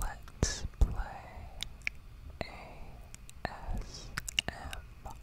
Let's play ASMR.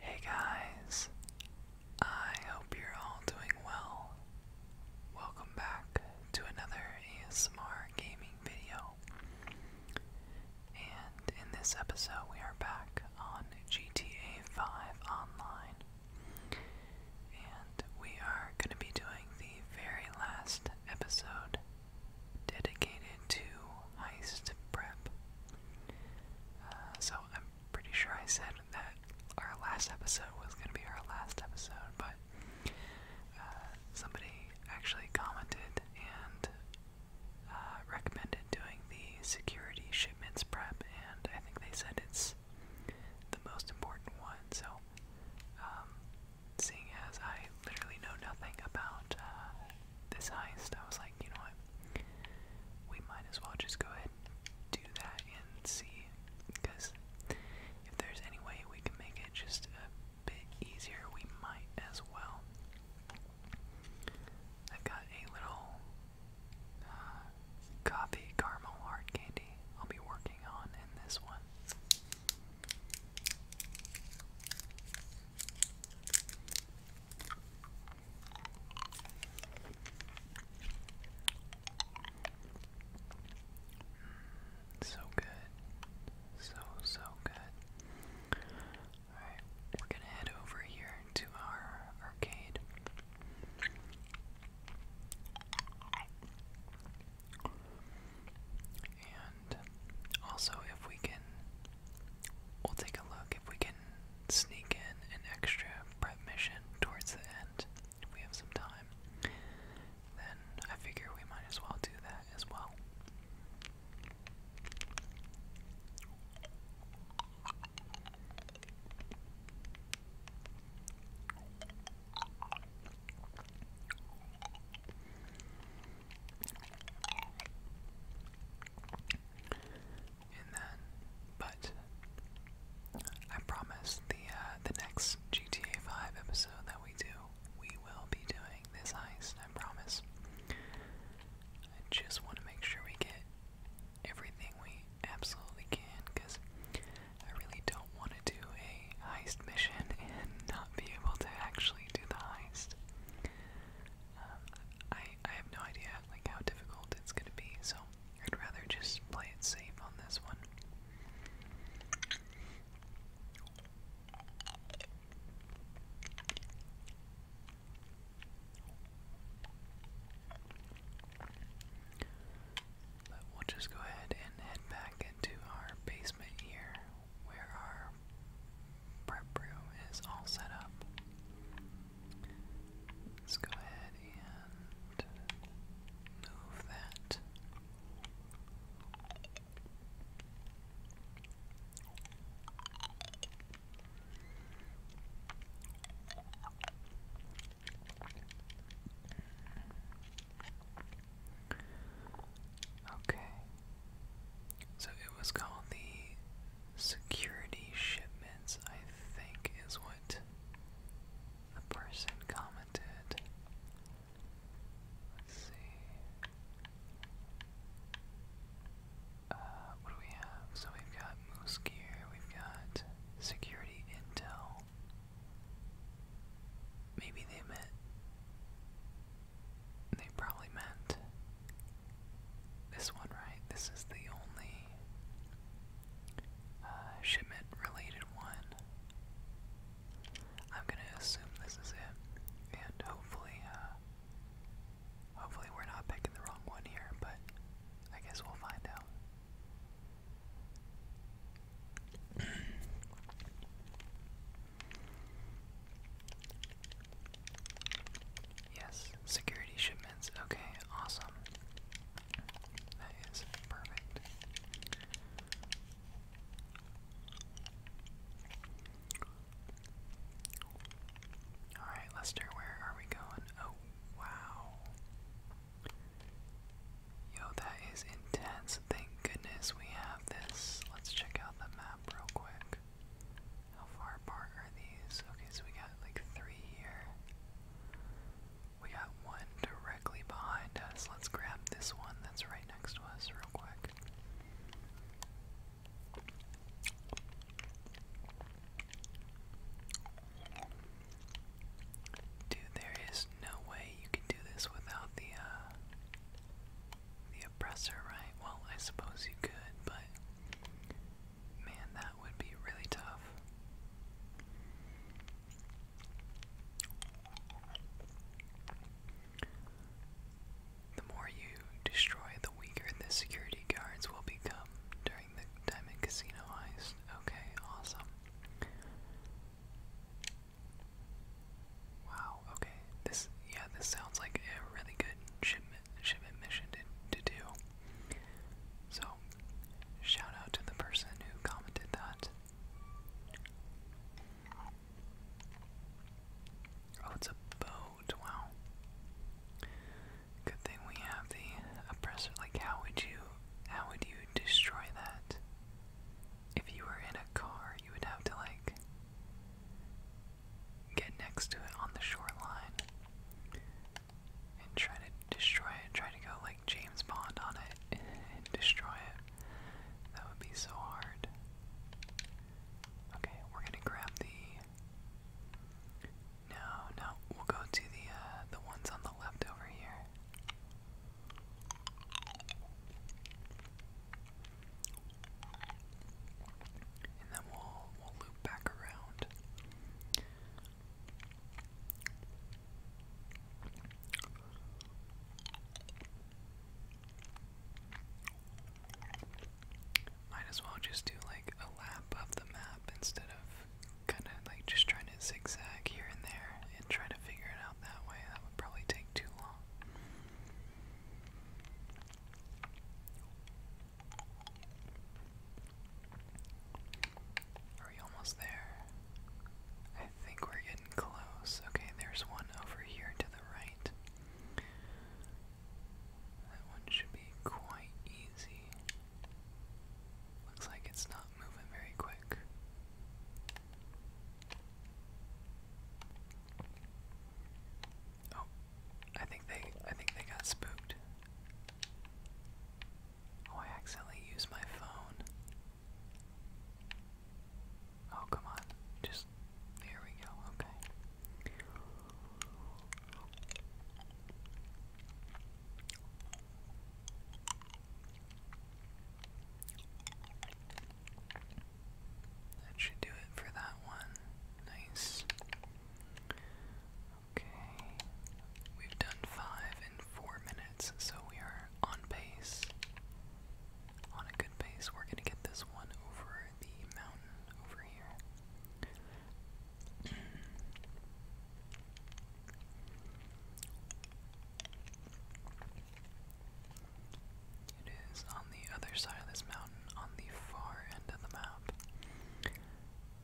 Hey guys, I hope you're all doing well. Welcome back to another ASMR gaming video. And in this episode, we are back on GTA 5 Online. And we are going to be doing the very last episode dedicated to heist prep. Uh, so I'm pretty sure I said that our last episode was going to be our last episode, but uh, somebody actually commented and uh, recommended doing the security shipments prep, and I think they said it's the most important one. So, um, seeing as I literally know nothing about uh, this heist, I was like, you know what? We might as well just go ahead and do that and see. Because if there's any way we can make it just a bit easier, we might as well. I've got a little uh, coffee caramel hard candy I'll be working on in this one. Mm, so good. So, so good. Alright, we're gonna head over here to our arcade. And also, if we can, we'll take a look if we can sneak in an extra prep towards the end, if we have some time, then I figure we might as well do that as well. And then, but I promise the uh, the next GTA Five episode that we do, we will be doing this ice. I promise. I just want to make sure we get everything we absolutely can because I really don't want to do a heist mission and not be able to actually do the heist. Um, I, I have no idea like how difficult it's going to be, so I'd rather just play it safe on this one. But we'll just go ahead and head back into our basement here where our prep room is all set up. Let's go ahead and move that. Okay. So it was called the security shipments, I think, is what the person commented. Let's see. Uh, what do we have? So we've got Moose Gear, we've got Security Intel. Maybe they meant. They probably meant this one, right? This is the only uh, shipment related one. I'm gonna assume this is it, and hopefully, uh, hopefully we're not picking the wrong one here, but I guess we'll find out. yes, security shipments. Okay, awesome. That is perfect. Alright, Lester, where are we going? Oh, Wow. Yo, that is intense. Thank goodness we have this. Let's check out the map real quick. How far apart are these? Okay, so we got like three here. We got one directly behind us. Let's grab this one that's right next to us real quick. Dude, there is no way you can do this without the uh, the oppressor, right? Well, I suppose you could, but man, that would be really tough. The more you destroy, the weaker the security guards will become the Diamond Casino heist. Okay, awesome. Wow, okay. This yeah, this sounds like a really good shipment shipment mission to to do. So shout out to the person who commented that. Oh, it's a boat, wow. Good thing we have the oppressor. Like, how would you, how would you destroy that? If you were in a car, you would have to like get next to it on the shoreline and try to destroy it. Try to go like James Bond on it and destroy it. That would be so hard. Okay, we're gonna grab the no, no, we'll go to the uh, the ones on the left over here. And then we'll we'll loop back around. Might as well just do like a lap of the map instead of kind of like just trying to zigzag here and there and try to figure it out that way. That would probably take too long. Are we almost there? I think we're getting close. Okay, there's one over here to the right. That one should be quite easy. Looks like it's not moving very quick. Oh, I think they I think they got spooked. Oh, I accidentally used my phone. Oh, come on. Just, there we go, okay. That should do it for that one. Nice. Okay. We've done five in four minutes, so we are on pace. On a good pace. We're gonna get this one over the mountain over here. It is on the other side of this mountain, on the far end of the map.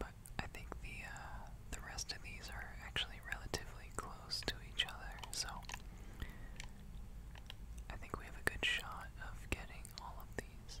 But I think the uh, the rest of these are actually relatively close to each other, so I think we have a good shot of getting all of these.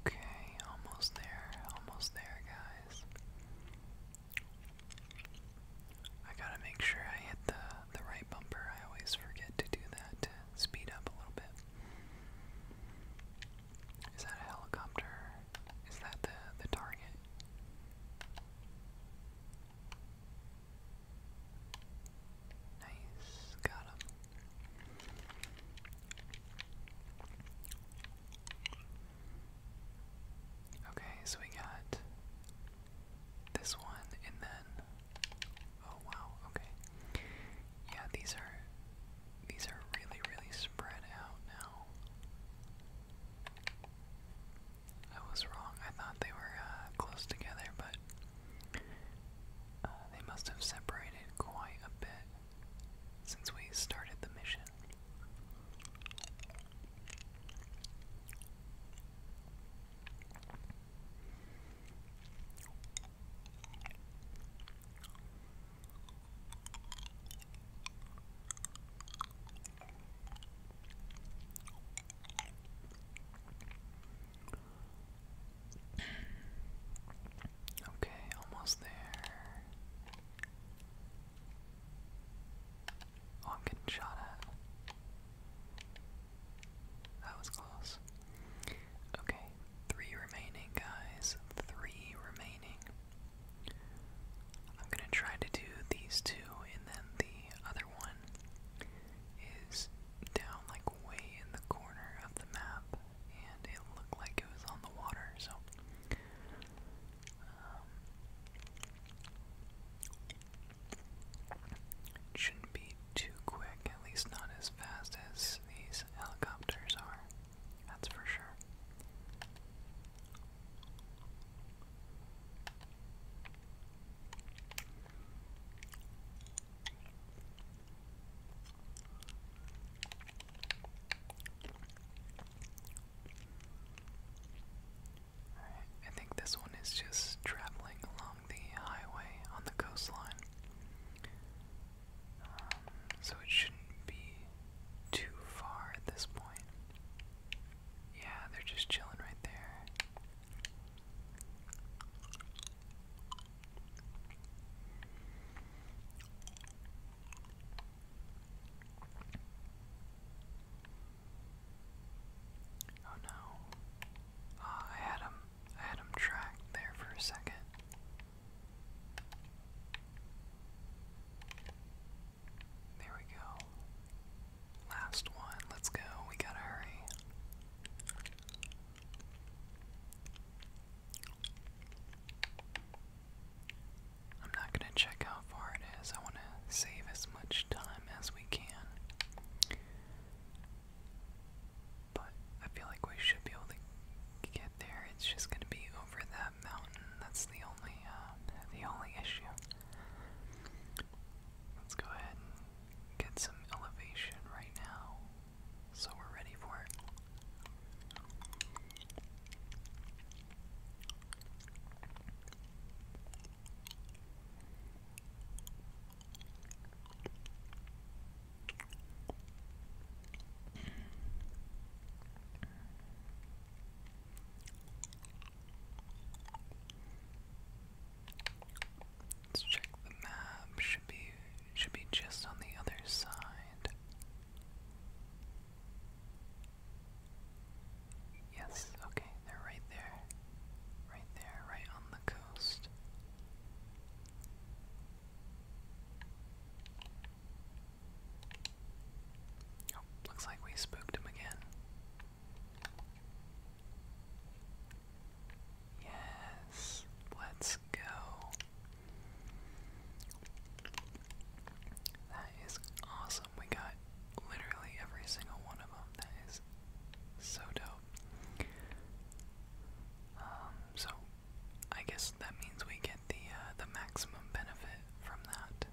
Okay, almost there, almost there, guys. I gotta make sure I hit the the right bumper. I always forget to do that speed up a little bit. Is that a helicopter? Is that the the target? Nice, got Okay, so we got this one, and then oh wow, okay, yeah, these are these are really really spread out now. I was wrong. I thought they were uh, close together, but uh, they must have separated quite a bit since we started the mission. Okay, almost there. Oh, I'm getting shot at. That was close. Okay, three remaining, guys. Three remaining. I'm gonna try to do these two and then the other one is down like way in the corner of the map, and it looked like it was on the water, so. Um, shouldn't be too quick, at least not as fast as these helicopters are, that's for sure. I think this one is just traveling along the highway on the coastline. Um, so it shouldn't be too far at this point. Yeah, they're just chilling right there. Oh no. Ah, I had him I had him tracked there for a second. There we go. Last one. Let's go. We gotta hurry. I'm not gonna check how far it is. I wanna save as much time as we can. But I feel like we should be able to get there. It's just gonna be over that mountain. That's the only uh, the only issue. Let's go ahead and get some elevation right now so we're ready for it let the map. Should be should be just on the other side. Yes, okay, they're right there. Right there, right on the coast. Oh, looks like we spooked him again. Yes, let's go. That is awesome. We got literally every single one of them. That is so dope. Um, so I guess that means we get the uh, the maximum benefit from that.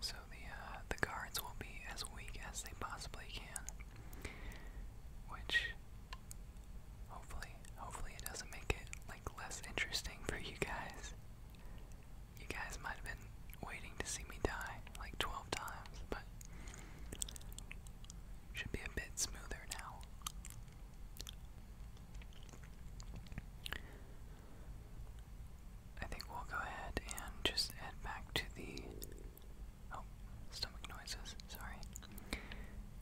So the uh, the guards will be as weak as they possibly can, which hopefully hopefully it doesn't make it like less interesting for you guys. You guys might have been waiting to see me die like 12 times, but should be a bit smoother now. I think we'll go ahead and just head back to the. Oh, stomach noises, sorry.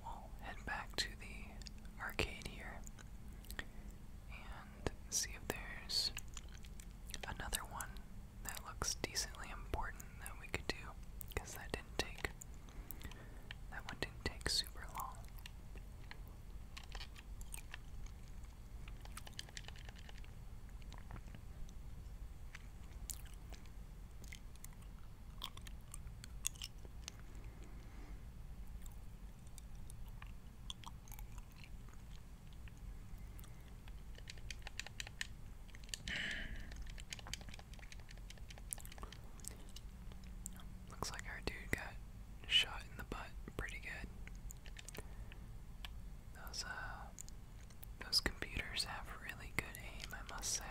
We'll head back to the arcade here and see if there's another one that looks decently important that we could do, because that didn't take that one didn't take super long. Looks like our dude got shot in the butt pretty good. Those uh those computers have really good aim, I must say.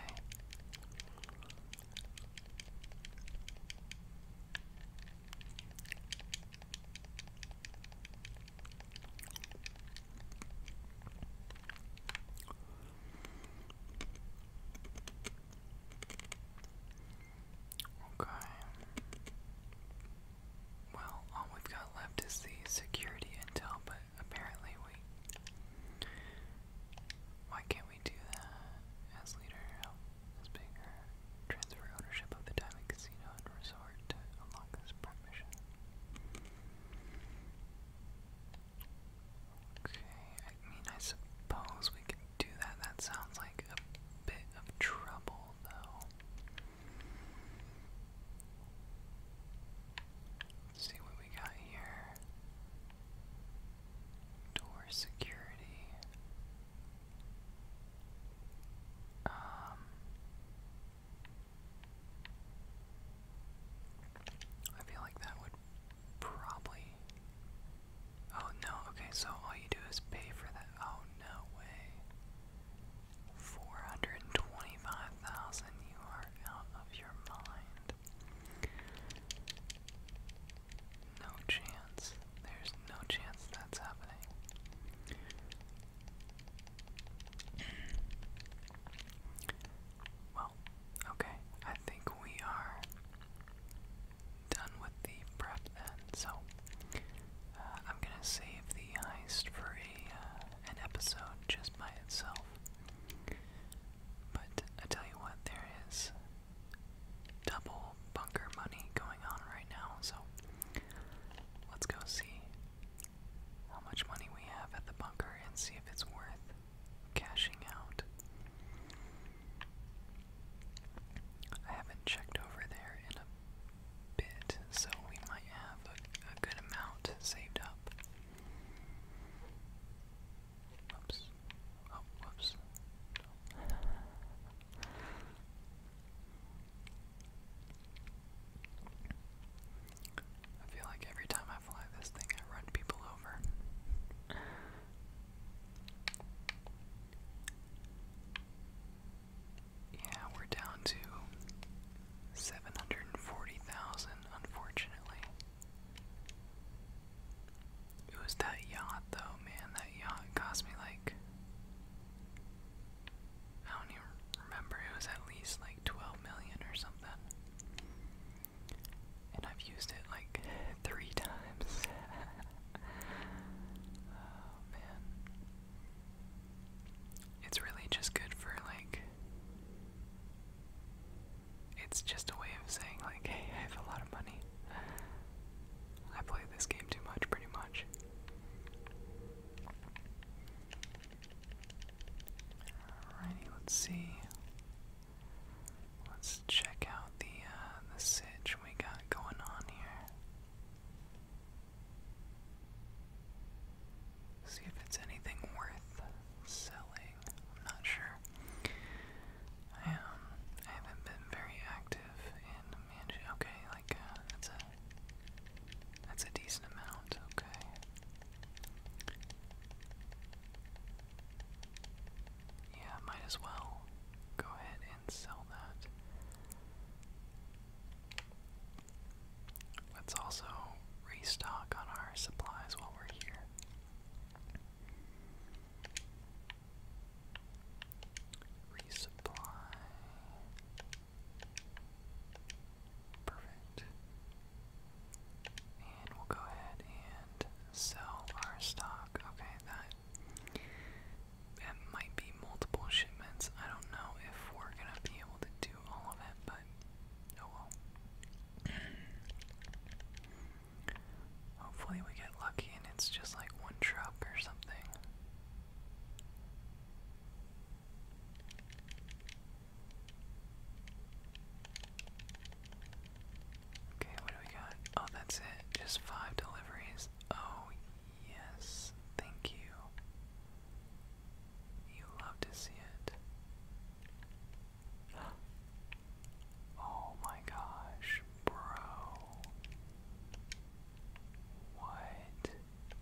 Okay. Well, all we've got left is the security intel, but apparently we. Why can't we do that? As leader, help this bigger transfer ownership of the Diamond Casino and Resort to unlock this permission. Okay, I mean, I suppose we can do that. That sounds like a bit of trouble, though. see what we got here. Door security. Um. I feel like that would Probably. Oh no, okay, so all you do is pay for that. Oh no way. 425,000, you are out of your mind. No chance. There's no chance that's happening. Well, okay. I think we are done with the prep then. So uh, I'm gonna save the heist for a uh, an episode just by itself. But I tell you what, there is double bunker money going on right now. So let's go see how much money we have at the bunker and see if it's worth cashing out. I haven't checked over there in a bit, so we might have a, good amount saved up. Oops. Oh, whoops. I feel like every time I fly this thing, I run people over. Yeah, we're down to 740,000, unfortunately. It was that yacht, though, man. That yacht cost me like. I don't even remember. It was at least like 12 million or something and I've used it like three times. oh man. It's really just good for like. It's just a way of saying, like, hey, I have a lot of money. I play this game too much, pretty much. Alrighty, let's see. Let's check out the uh, the sitch we got going on here. See if it's anything worth selling. I'm not sure. I um I haven't been very active in Okay, like uh, that's a that's a decent amount. Okay. Yeah, might as well go ahead and sell that. Let's also restock on our supplies while we're here. Resupply. Perfect. And we'll go ahead and sell our stock. Okay, that that might be multiple shipments. I don't know if we're gonna be able to do all of it, but oh well. Hopefully we get lucky and it's just like one truck or something. Okay, what do we got? Oh, that's it. Just five deliveries. Oh, yes. Thank you. You love to see it. Oh my gosh, bro. What?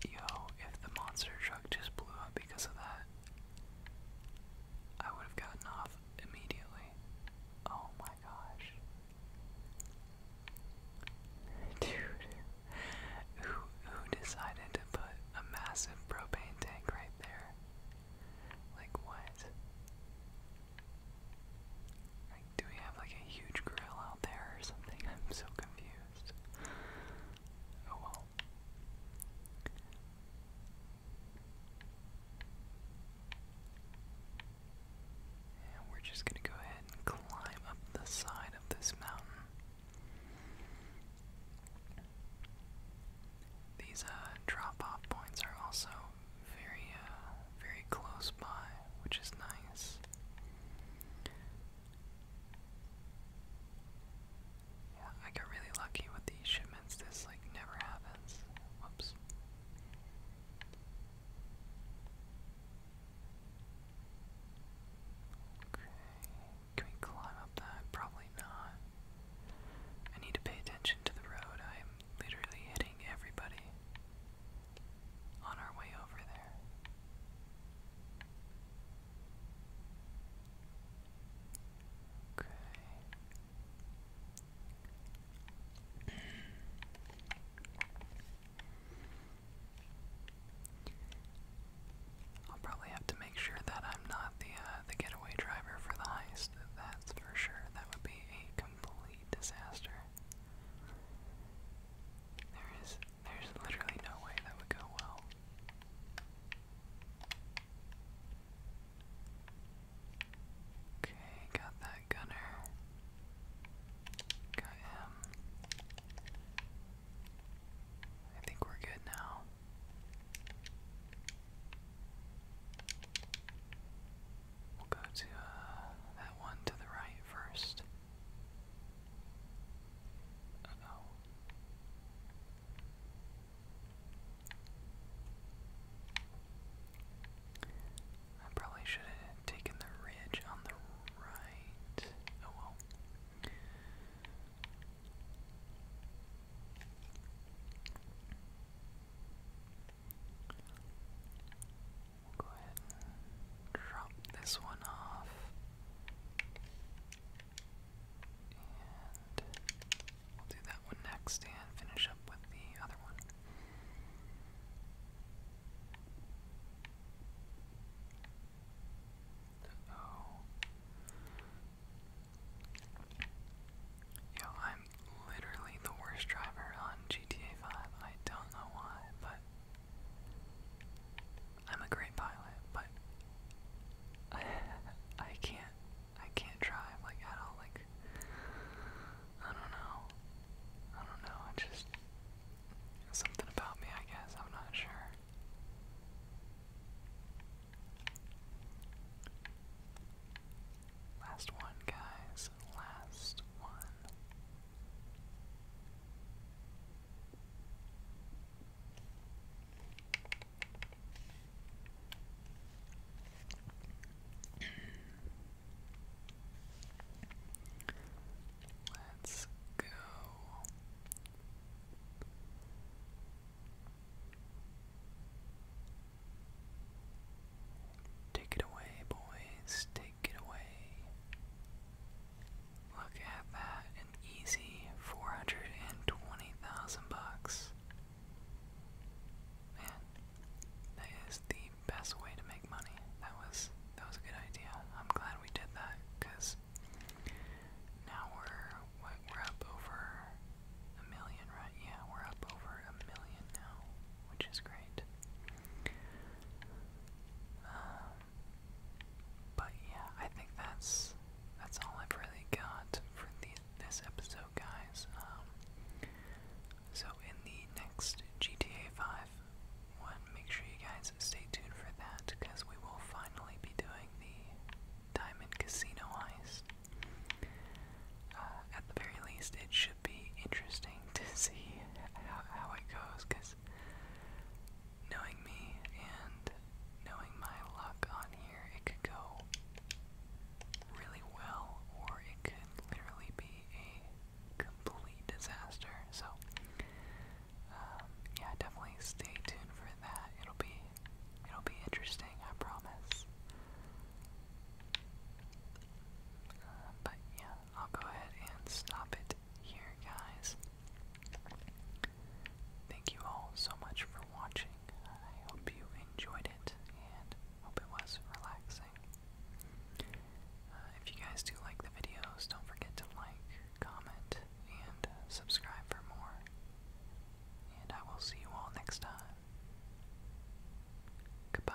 Yo, if the monster truck just blew up because of that, I would have gotten off immediately. Oh my gosh. Dude, who, who decided to put a massive propane tank right there? Like what? Like, do we have like a huge grill out there or something? I'm so confused we're just going to go ahead and climb up the side of this mountain. These uh, drop-off points are also very, uh, very close by, which is nice. Yeah, I got really lucky with these shipments. This like never happens. Whoops. Okay. Can we climb up that? Probably not. I need to pay attention to the road. I am literally hitting everybody on our way over there. Okay. I'll probably have to make sure that I'm not the uh, the getaway driver for the heist. That's for sure. That would be a complete disaster. There is there's literally no way that would go well. Okay, got that gunner. Got him. I think we're good now. We'll go to uh, that one to the right first. Uh I probably should have taken the ridge on the right. Oh well. We'll go ahead drop this one off. And we'll do that one next and finish up with the other one. Yo, I'm literally the worst driver on GTA 5. I don't know why, but I'm a great pilot, but I, I can't I can't drive like at all. Like I don't know. I don't know. I just something about me. I guess I'm not sure. Last one, guys. Last one. Let's go. Take it away, boys. Take it away. Look at that, easy 420,000 bucks. Man, that is the best way to make money. That was that was a good idea. I'm glad we did that cuz now we're we're up over a million, right? Yeah, we're up over a million now, which is great. Uh, but yeah, I think that's that's all I've really got for this episode, guys. Um, so in the next GTA 5 one, make sure you guys stay tuned for that because we will finally be doing the Diamond Casino heist. Uh, at the very least, it should be interesting to see how it goes because Knowing me and knowing my luck on here, it could go really well or it could literally be a complete disaster. So, um, yeah, definitely stay tuned for that. It'll be it'll be interesting, I promise. Uh, but yeah, I'll go ahead and stop it here, guys. Thank you all so much for watching. I hope you enjoyed it and hope it was relaxing. Uh, if you guys do like the videos, don't forget to like, comment, and uh, subscribe for more. And I will see you all next time. Goodbye.